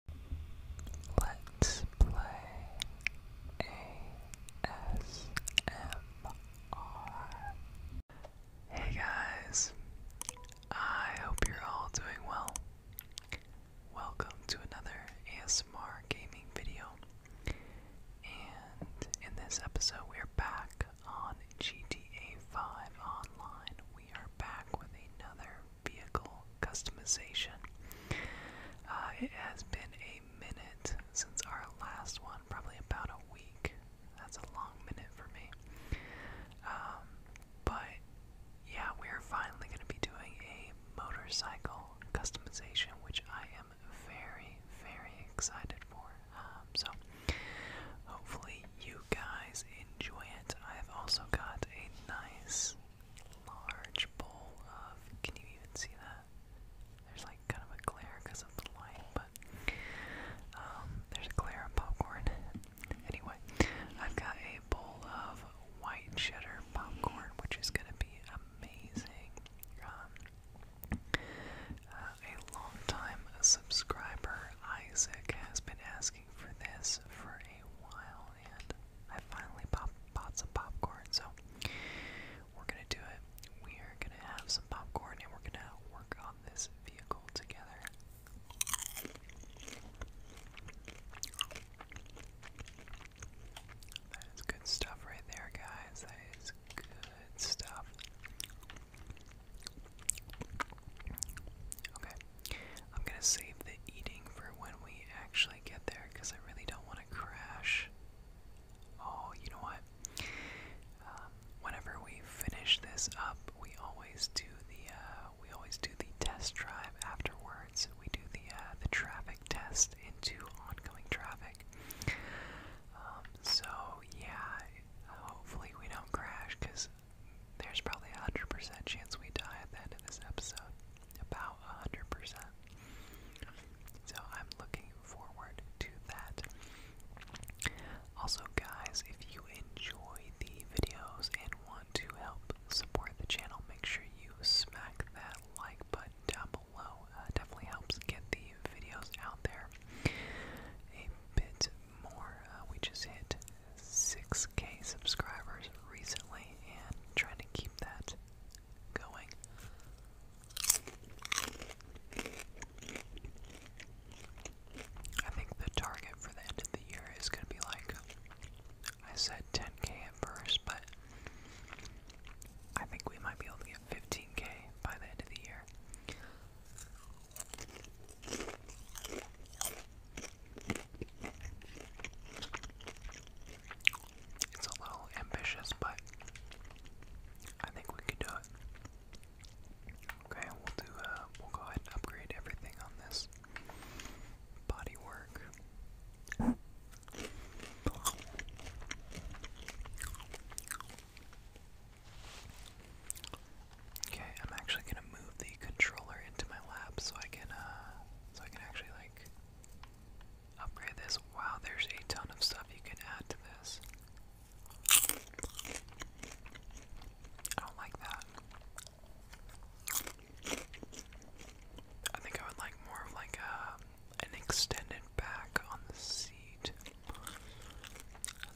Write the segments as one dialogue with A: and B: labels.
A: Hey guys, I hope you're all doing well. Welcome to another ASMR gaming video. And in this episode, we are back on GTA 5 Online. We are back with another vehicle customization. Uh, it has been a minute since our last one, probably about a week. That's a long minute for me. Um, but yeah, we're finally going to be doing a motorcycle customization, which I am very, very excited for. Um, so hopefully you guys enjoy it. I've also got a nice large bowl of. Can you even see that? There's like kind of a glare because of the light, but um, there's a glare on popcorn. anyway, I've got a bowl of white cheddar popcorn, which is gonna be amazing. Um, uh, a long time subscriber, Isaac, has been asking for this for a while, and I finally pop bought some popcorn. So we're gonna do it. We are gonna have some popcorn, and we're gonna work on this vehicle together. That is good stuff right there, guys. That is good stuff. Okay. I'm going to save the eating for when we actually actually get there because I really don't want to crash. Oh, you know what? Um, whenever we finish this up, we always do the uh, we always do the test drive afterwards. We do the uh, the traffic test into oncoming traffic. Um, so yeah, hopefully we don't crash because there's probably a hundred percent chance we die at the end of this episode about 100%. So I'm looking forward to that. Also, guys, if you enjoy the videos and want to help support the channel, make sure you smack that like button down below. Uh, definitely helps get the videos out there a bit more. Uh, we just hit six k subscribers recently and trying to keep that going. I think the target for the end of the year is going to be like I said 10k at first, but I think we might be able to get 15k by the end of the year. It's a little ambitious, but I think we can do it. Okay, we'll do. Uh, we'll go ahead and upgrade everything on this body Okay, I'm actually gonna move the controller into my lap so I can, uh, so I can actually like Upgrade this. Wow, there's a ton of stuff you can add to this. I don't like that. I think I would like more of like a, um, an extended back on the seat.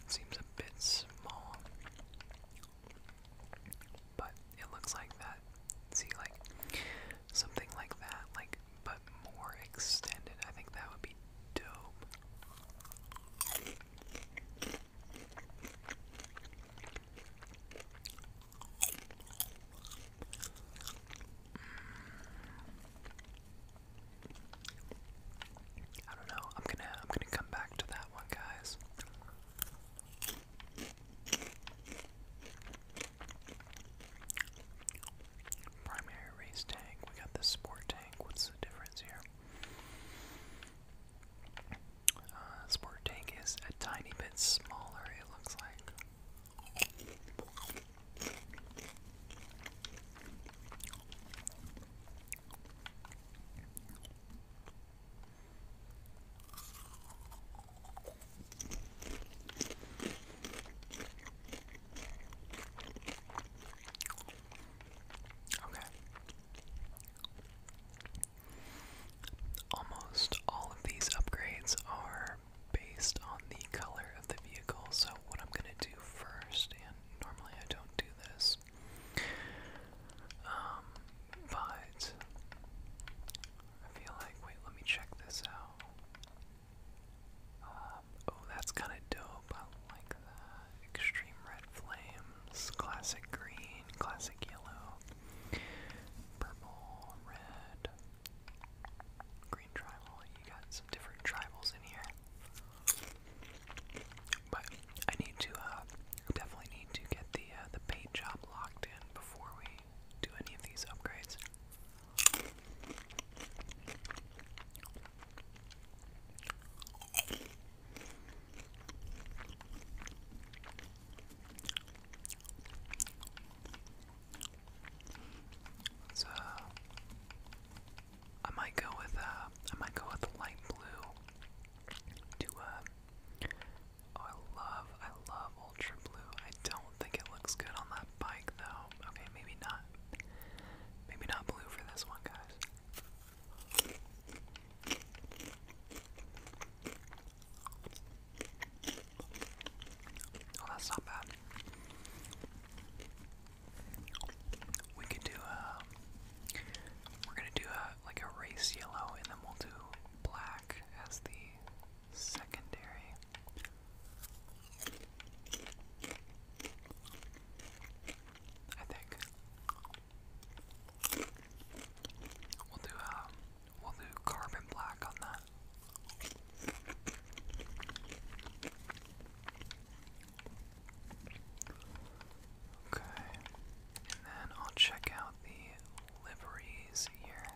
A: seems a bit small. But it looks like that. See, like something like that, like but more extended. I think that would be dope. I don't know. I'm gonna I'm gonna come back to that one, guys. Primary race tank, we got the sport tank. What's the difference here? Uh, sport tank is a tiny bit smaller, it looks like. Okay. Almost all of these upgrades are based on the color of the vehicle, so what I'm going to do first, and normally I don't do this, um, but I feel like, wait, let me check this out. Um, oh, that's kind of dope. I like that. Extreme red flames, classic green, classic yellow, purple, red, green tribal. You got some different tribals in here. But I need to, uh, definitely need to get the uh, the paint job locked in before we do any of these upgrades. So I might go with uh might go with light blue to uh, Oh, I love, I love Ultra Blue. I don't think it looks good on that bike though. Okay, maybe not. Maybe not blue for this one, guys. Oh, that's not bad. We could do a. Um, we're gonna do a like a race yellow, and then we'll do black as the secondary. I think we'll do uh, we'll do carbon black on that. Okay, and then I'll check out the liveries here.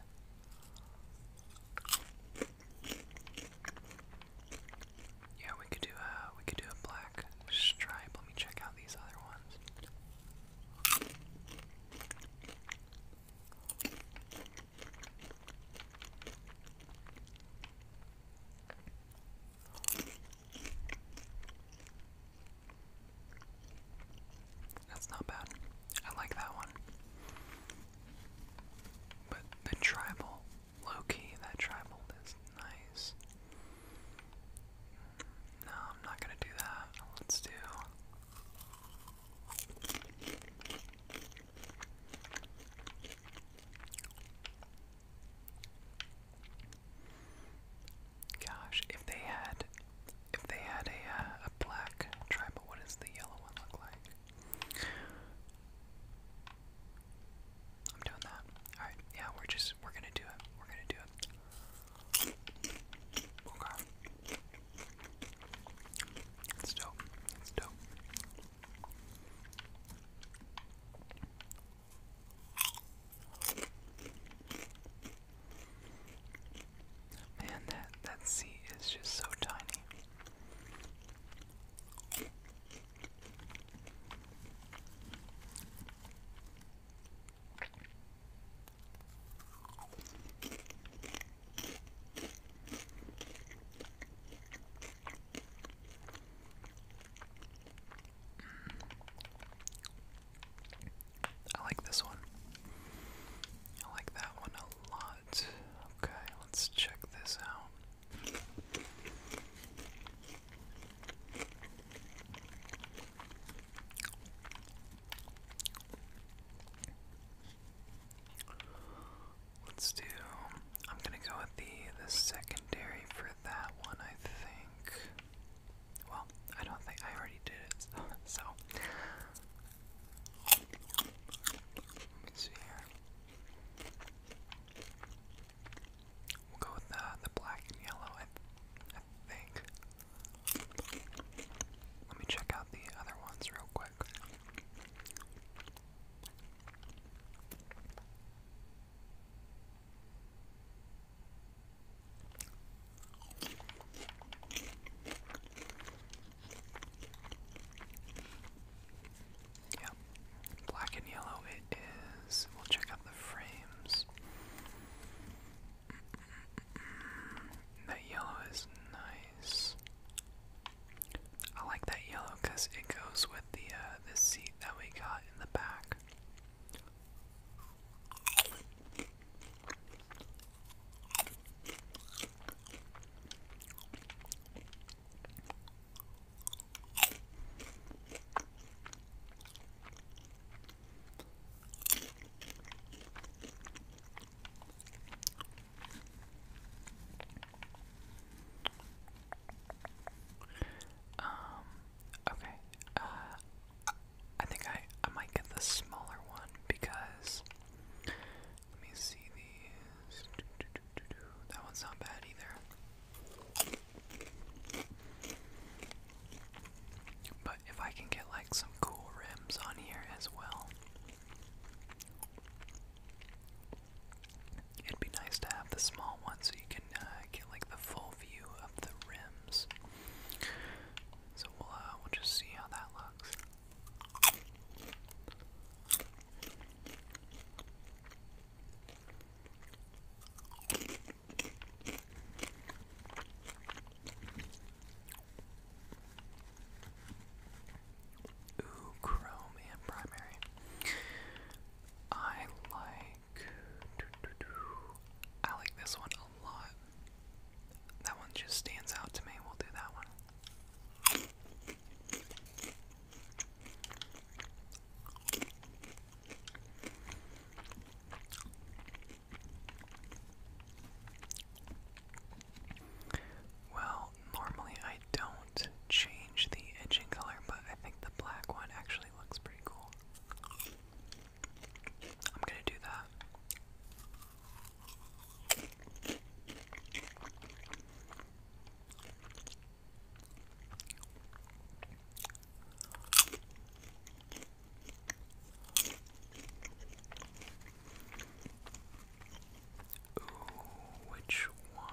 A: Yeah, we could do a we could do a black stripe. Let me check out these other ones. That's not bad. I like that one. But the tribal, low key, that tribal is nice. No, I'm not gonna do that. Let's do. Gosh, if they had if they had a, uh, a black tribal, what does the yellow one look like? I'm doing that. Alright, yeah, we're just, we're gonna do it. We're gonna do it. Okay. It's dope. It's dope. Man, that that seat is just so tiny. Mm. I like this one. I like that one Okay, let's check this out. Let's do. I'm gonna go with the the secondary for that one. I think. Well, I don't think I already did it, so Let's see here. We'll go with the, the black and yellow, I, I think. Let me check out the other ones real quick. Yeah. Black and yellow it is. We'll check out the frames. That yellow is nice. I like that yellow because it goes with the uh, the seat that we got in the back. Um, okay. Uh I think I I might get the smaller one because let me see these. That one's not bad either. But if I can get like some cool rims on here as well, it'd be nice to have the small one so you can uh, get like the full view of the rims. So we'll uh, we'll just see how that looks. Ooh, Chrome and primary. I like I like this one a lot. That one just stands out to me. We'll do that one. Well, normally I don't change the edging color, but I think the black one actually looks pretty cool. I'm gonna do that. Ooh, which one?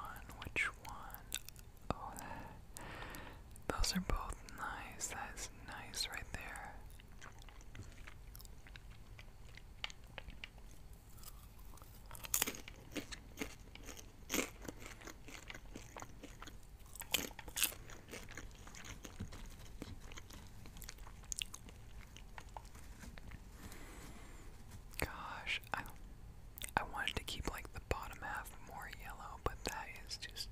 A: Which one? Oh, those are both nice. That's nice right there. Gosh, I I wanted to keep like the bottom half more yellow, but that is just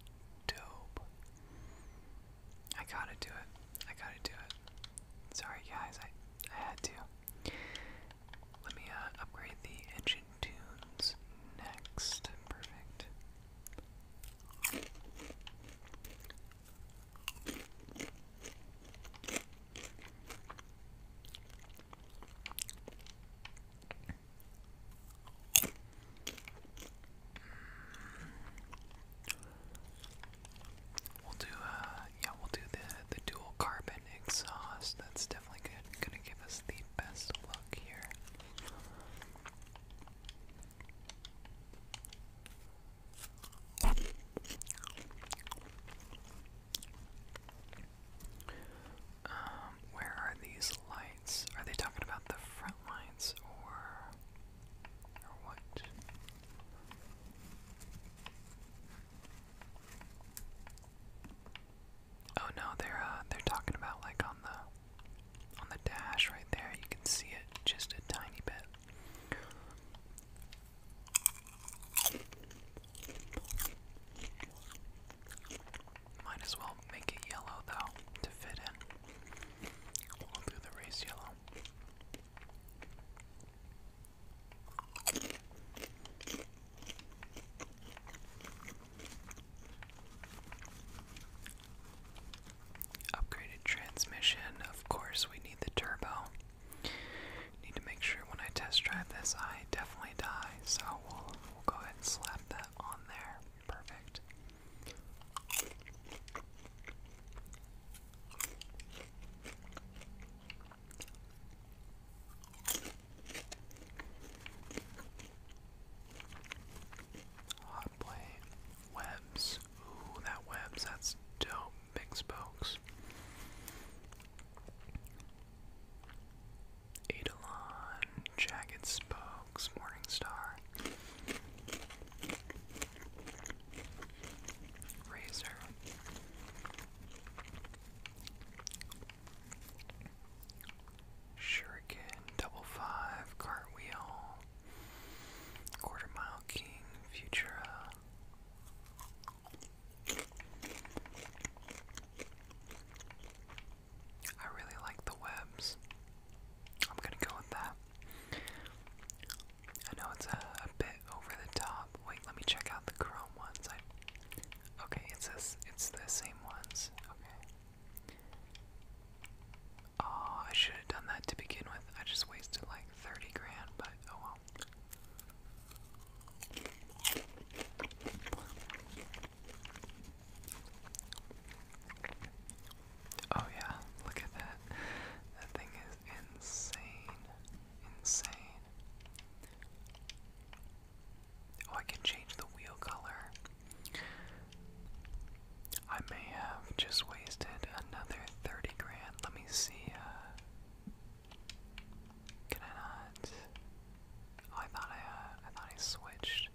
A: dope. I gotta do it. I gotta do it. Sorry guys, I I had to. Let me uh, upgrade the engine tunes next. Perfect. We'll do uh yeah, we'll do the the dual carbon exhaust. That's definitely good. Gonna give us the best look here. Um, where are these lights? Are they talking about the front lights or Oh no, they're uh, they're talking about like on the on the dash right there. You can see it just a tiny bit. Might as well make it yellow though to fit in. We'll do the race yellow. Upgraded transmission. Of course, we need the turbo. Need to make sure when I test drive this, I definitely die. So we'll, we'll go ahead and slap that on there. Perfect. Hot webs. Ooh, that webs, that's dope. Big spokes. Eidolon, jagged spokes, morning razor. Shuriken, double five, cartwheel, quarter mile king, Futura. I really like the webs. I'm gonna go with that. I know it's a, bit over the top. Wait, let me check out the chrome ones. I, okay, it says It's the same ones. Okay. Oh, I should have done that to begin with. I just wasted like thirty grand, but oh well. Oh yeah, look at that. That thing insane. Insane. Oh, I can change the wheel color. I may have just wasted another 30 grand. Let me see. Uh, can I not? Oh, I thought I, uh, I thought I switched.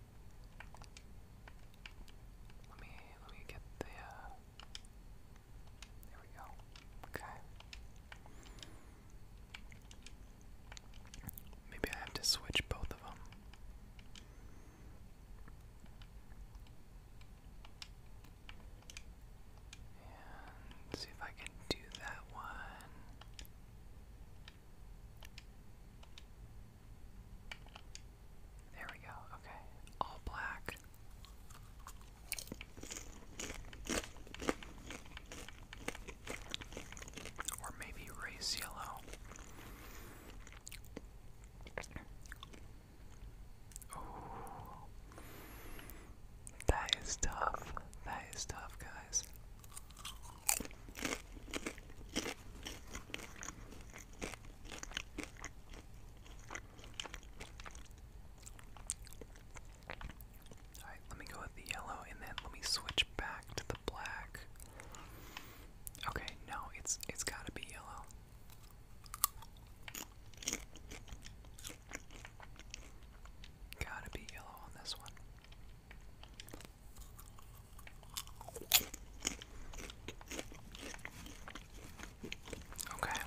A: Let me, let me get the, uh, there we go. Okay. Maybe I have to switch both of them. And see if I can do that one. There we go. Okay. All black. Or maybe race yellow. that is tough. That is tough, guys. Alright, let me go with the yellow and then let me switch back to the black. Okay, no, it's it's gotta be yellow. Gotta be yellow on this one. Okay.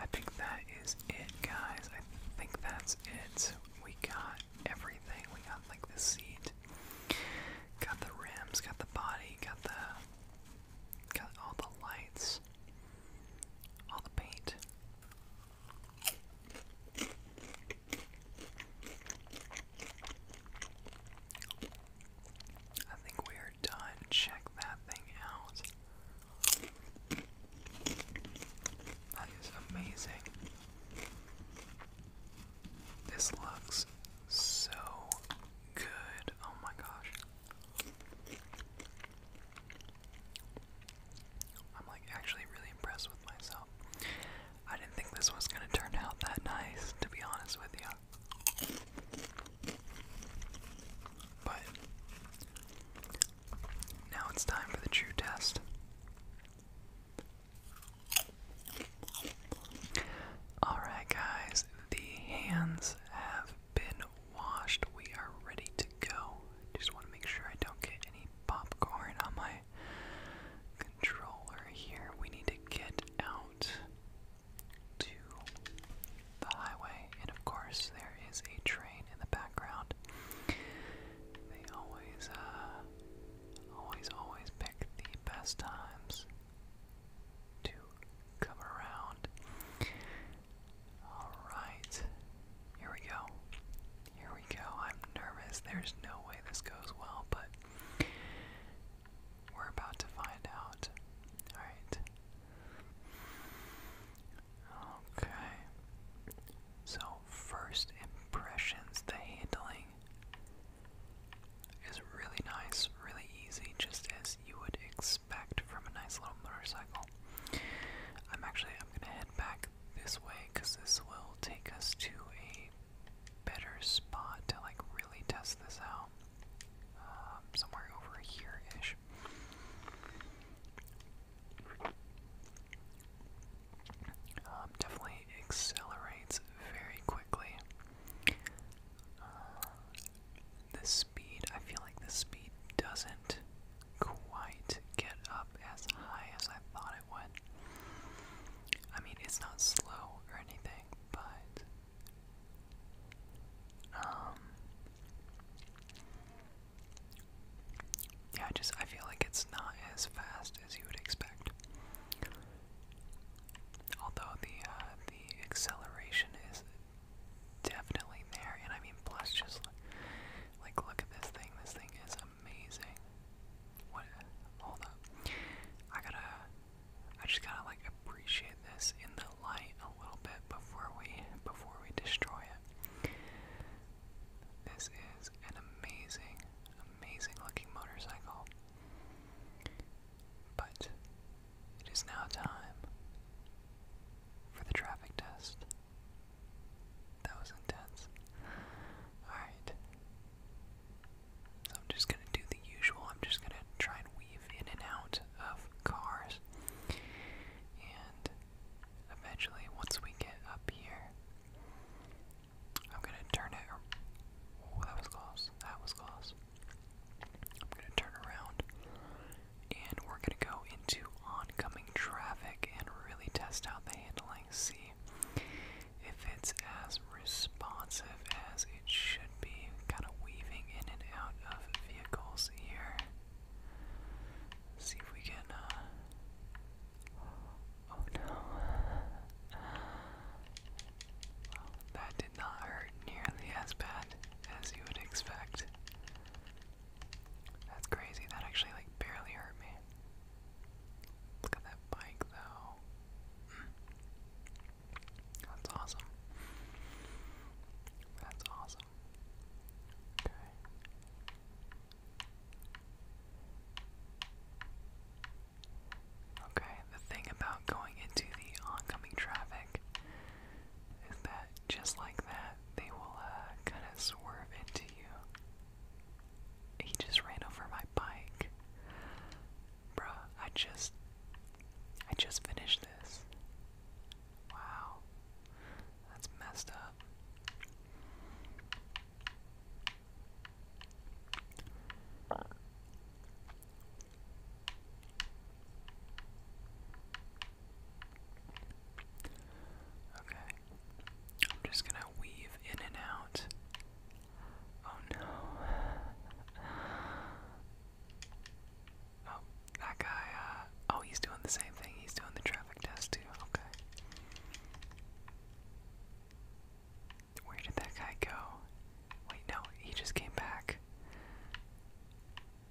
A: I think that is it, guys. I think that's it. We got everything. We got like the seat, got the rims, got the body, got the got all the lights, all the paint. I think we are done. Check that thing out. That is amazing. This looks so good. Oh my gosh. I'm like actually really impressed with myself. I didn't think this was gonna turn out that nice, to be honest with you. But now it's time for the true test. Alright, guys, the hands have been washed. We are ready to go. Just want to make sure I don't get any popcorn on my controller here. We need to get out to the highway, and of course, there is a train in the background. They always, uh, always, always pick the best times to come around. Alright, here we go. Here we go. I'm nervous. There's no way this goes well, but we're about to find out. Alright. Okay. So, first impressions, the handling is really nice, really easy, just as you would expect from a nice little motorcycle. I'm actually I'm gonna head back this way because this will take us to a better spot to like really test this out. Um, somewhere over here ish. Um, definitely accelerates very quickly. Uh, the speed, I feel like the speed doesn't quite get up as high as I thought it would. I mean, it's not slow or anything, but um, yeah, just I feel like it's not as fast as you would expect. Although the uh, the acceleration is definitely there, and I mean, plus just like look at this thing. This thing is amazing. What? Hold up. I gotta I just kind of like appreciate this in the light a little bit before we before we destroy it. This is an amazing, amazing looking motorcycle. But it is now time for the traffic test. That was intense. Alright. I'm just gonna do the usual. I'm just gonna try and weave in and out of cars. And eventually, once we get up here, I'm gonna turn it. Oh, that was close. That was close. I'm gonna turn around, and we're gonna go into oncoming traffic and really test out the handling. See if it's as responsive as it should be kind of weaving in and out of vehicles here. see if we can. Uh, oh no. that did not hurt nearly as bad as you would expect. That's crazy. That actually like barely hurt me. Look at that bike though. Hmm. That's awesome. That's awesome. Okay. Okay, the thing about going into the oncoming traffic is that just like that, they will uh, kind of swerve into you. He just ran over my bike. Bruh, I just I just finished this. Wow. That's messed up. Okay. I'm just going to weave in and out. Oh no. Oh, that guy, uh, oh, he's doing the same thing. He's doing the traffic test, too. Okay. Where did that guy go? Wait, no, he just came back.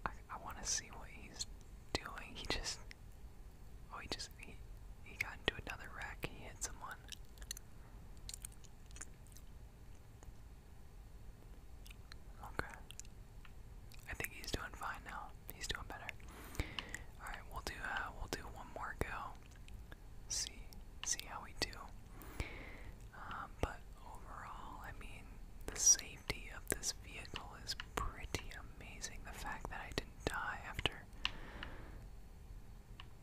A: I, I want to see what he's doing. He just, oh, he just, he, he got into another wreck. He hit someone. Okay. I think he's doing fine now. He's doing better. All right, we'll do uh, we'll do one more go. See see how we do. Um, but overall, I mean, the safety of this vehicle is pretty amazing. The fact that I didn't die after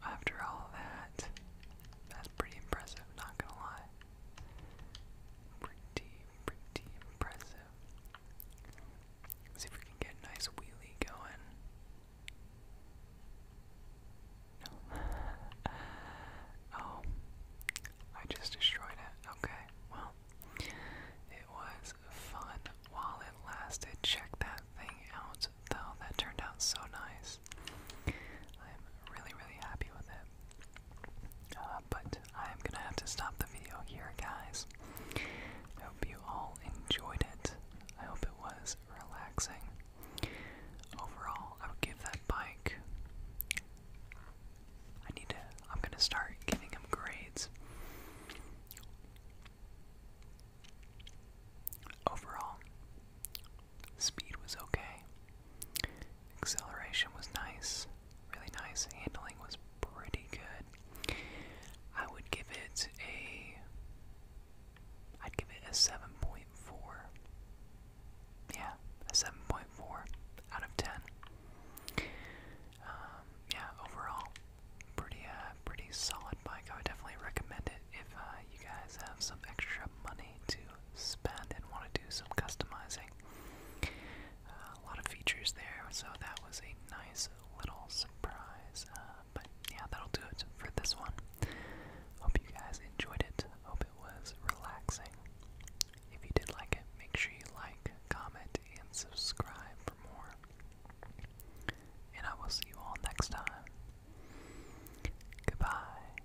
A: after all that, that's pretty impressive. Not gonna lie. Pretty, pretty impressive. see if we can get a nice wheelie going. No. oh, I just destroyed it. Okay, well, it was fun while it lasted. Check that thing out, though. That turned out so nice. I'm really, really happy with it. Uh, but I'm gonna have to stop the video here, guys. I hope you all enjoyed it. I hope it was relaxing. Overall, I would give that bike. I need to. I'm gonna start giving him grades. Overall, Speed was okay. Acceleration was nice. Really nice. Handling was pretty good. I would give it a. I'd give it a 7.4. Yeah, a 7.4 out of 10. Um, yeah, overall, pretty, uh, pretty solid bike. I would definitely recommend it if uh, you guys have some extra money to spend and want to do some customizing. Uh, a lot of features there, so that was a nice little surprise. Uh, but yeah, that'll do it for this one. Hope you guys enjoyed it. Hope it was relaxing. If you did like it, make sure you like, comment, and subscribe for more. And I will see you all next time. Goodbye.